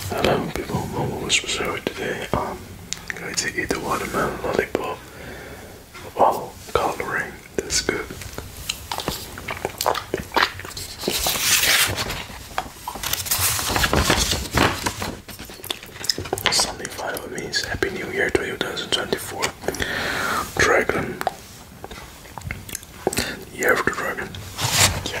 Hello people, my mum was preserved today. I'm um, going to eat the watermelon lollipop while colouring this good. Sunday final means Happy New Year 2024. Dragon. Year of the Dragon. Yeah.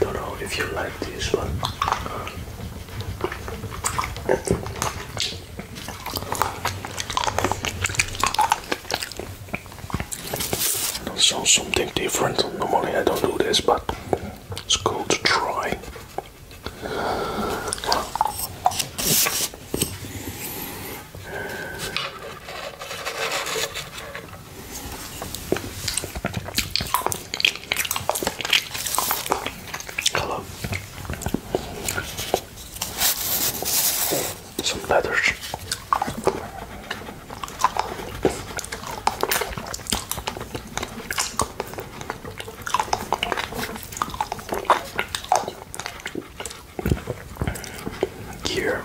Don't know if you like this one. So something different. Normally I don't do this, but it's cool to try. Hello. Some letters. Here.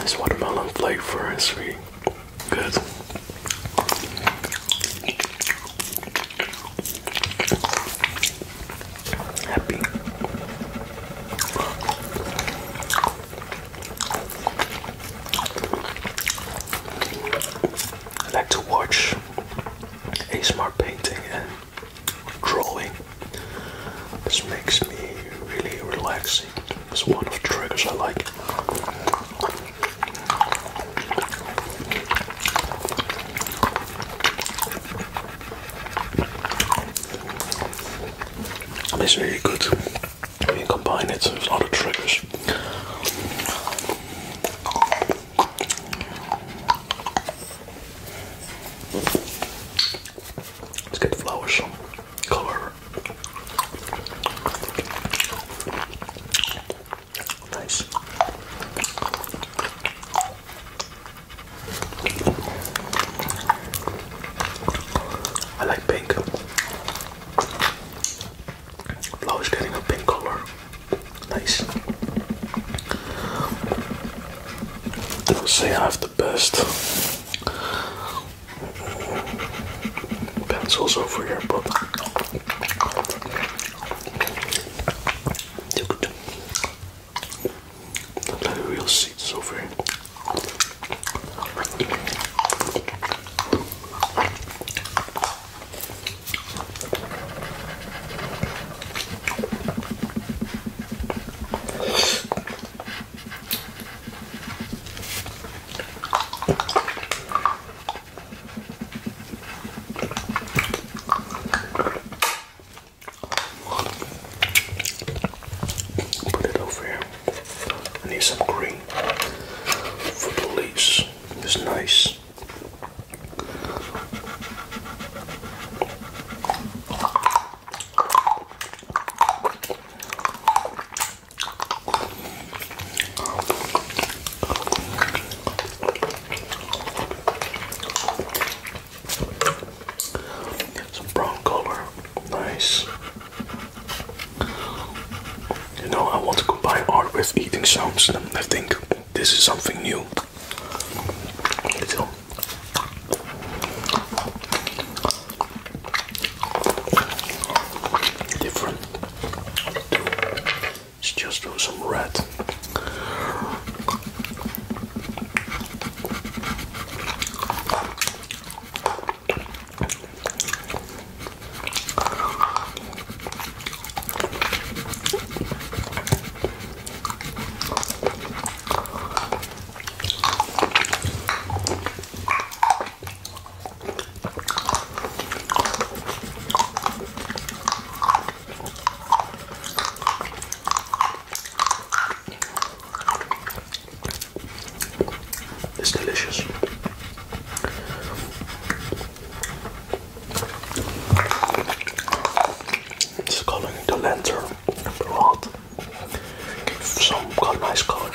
This watermelon flavor is really good happy. I like to watch ASMR painting and drawing. This makes me really relaxing. It's one of the triggers I like. And it's really good. You combine it with a lot of triggers. Let's get flowers, color. Nice. I like pink. Flower is getting a pink color. Nice. I would say I have the best pencils over here, but they're good. Look like real seeds over here. Put it over here. I need some green for the leaves. It's nice. Some brown color, nice. You know, I want to combine art with eating sounds, and I think this is something new. different. It's just some red. It's delicious. It's calling the lantern rod. Some got nice colors.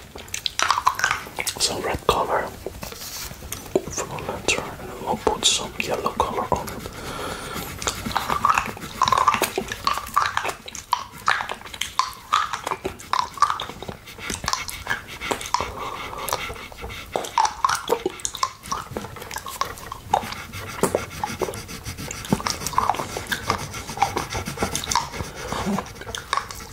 some red color for the lantern, and then I'll put some yellow color on it. Some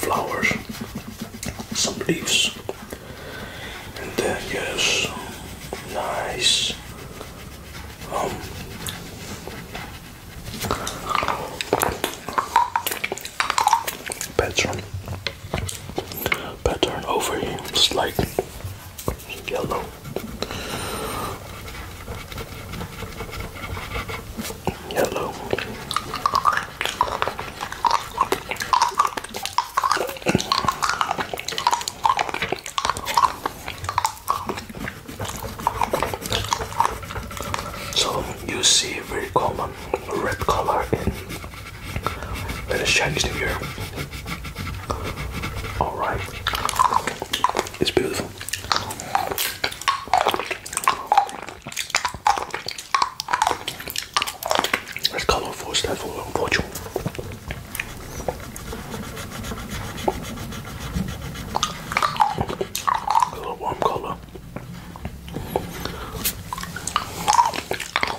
flowers, some leaves, and then yes, nice. Um, pattern pattern over here it's like yellow yellow so you see very common red color in that is Chinese New Year. Alright. It's beautiful. Let's call it for A little warm color.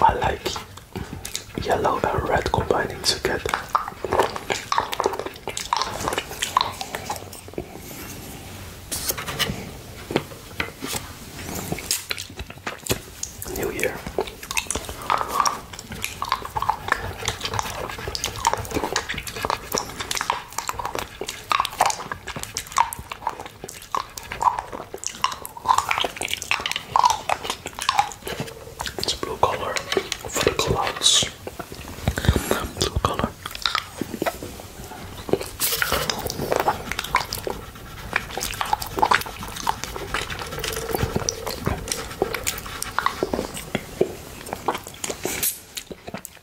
I like yellow and red combining together. New Year. It's blue color for the clouds. Blue color.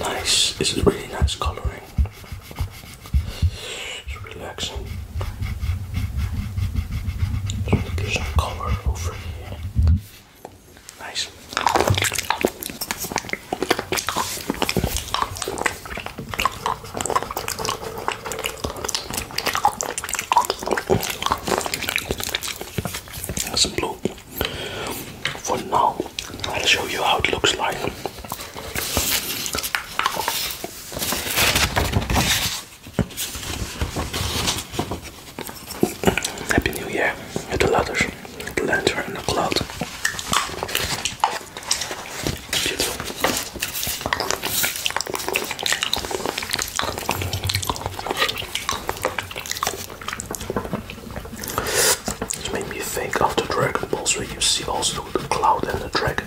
Nice, this is really nice colouring. It's relaxing. There's some colour over here. Nice. some blue. For now, I'll show you how it looks like. Happy New Year with the letters, the lantern, and the cloud. This made me think of the Dragon Balls where you see also the cloud and the dragon.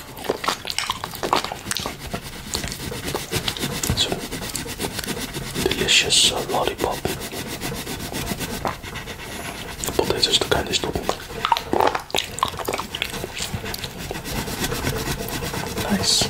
delicious uh, lollipop. Potatoes the kindest topping. Nice.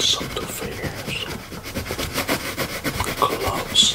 Something for years. Close.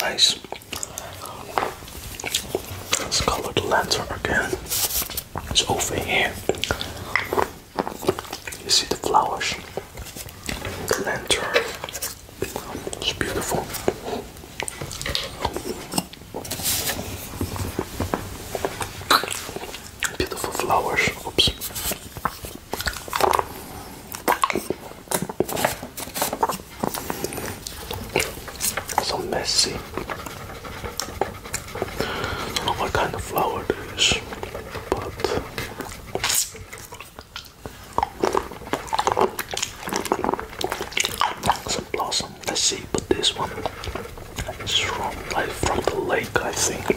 Nice. Let's color the lantern again. It's over here. You see the flowers, the lantern. It's beautiful. Beautiful flowers. Oops. So messy. what kind of flower it is, but it's blossom. Let's see, but this one is from from the lake, I think.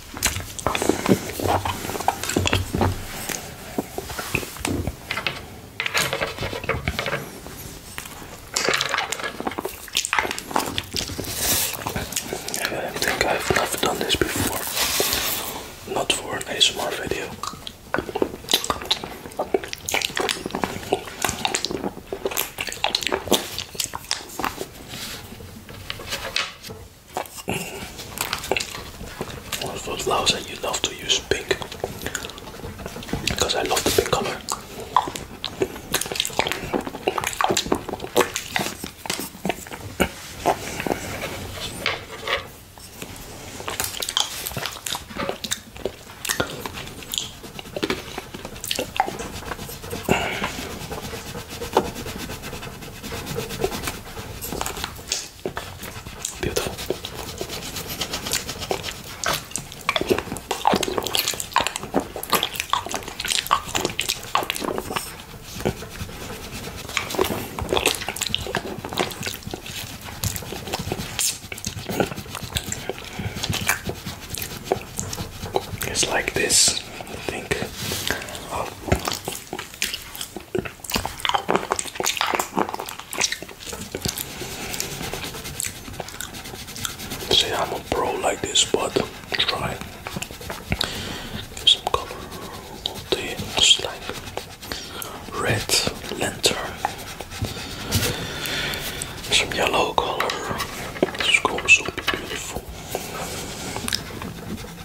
I think I've never done this before. Not for an ASMR video. One of those louds that you love to use pink because I love the pink color. Beautiful. It's like this, I think. See, I'm a pro like this, but try. Give some color the like red lantern. Some yellow color. This going so beautiful.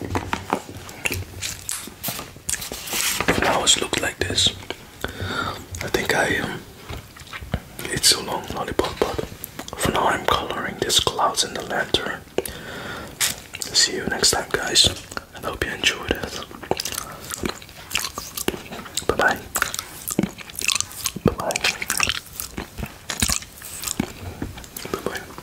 It always looks like this. I think I um, it's so long lollipop, but for now I'm coloring these clouds in the lantern. See you next time, guys, and I hope you enjoyed this. Bye bye. Bye bye. Bye bye.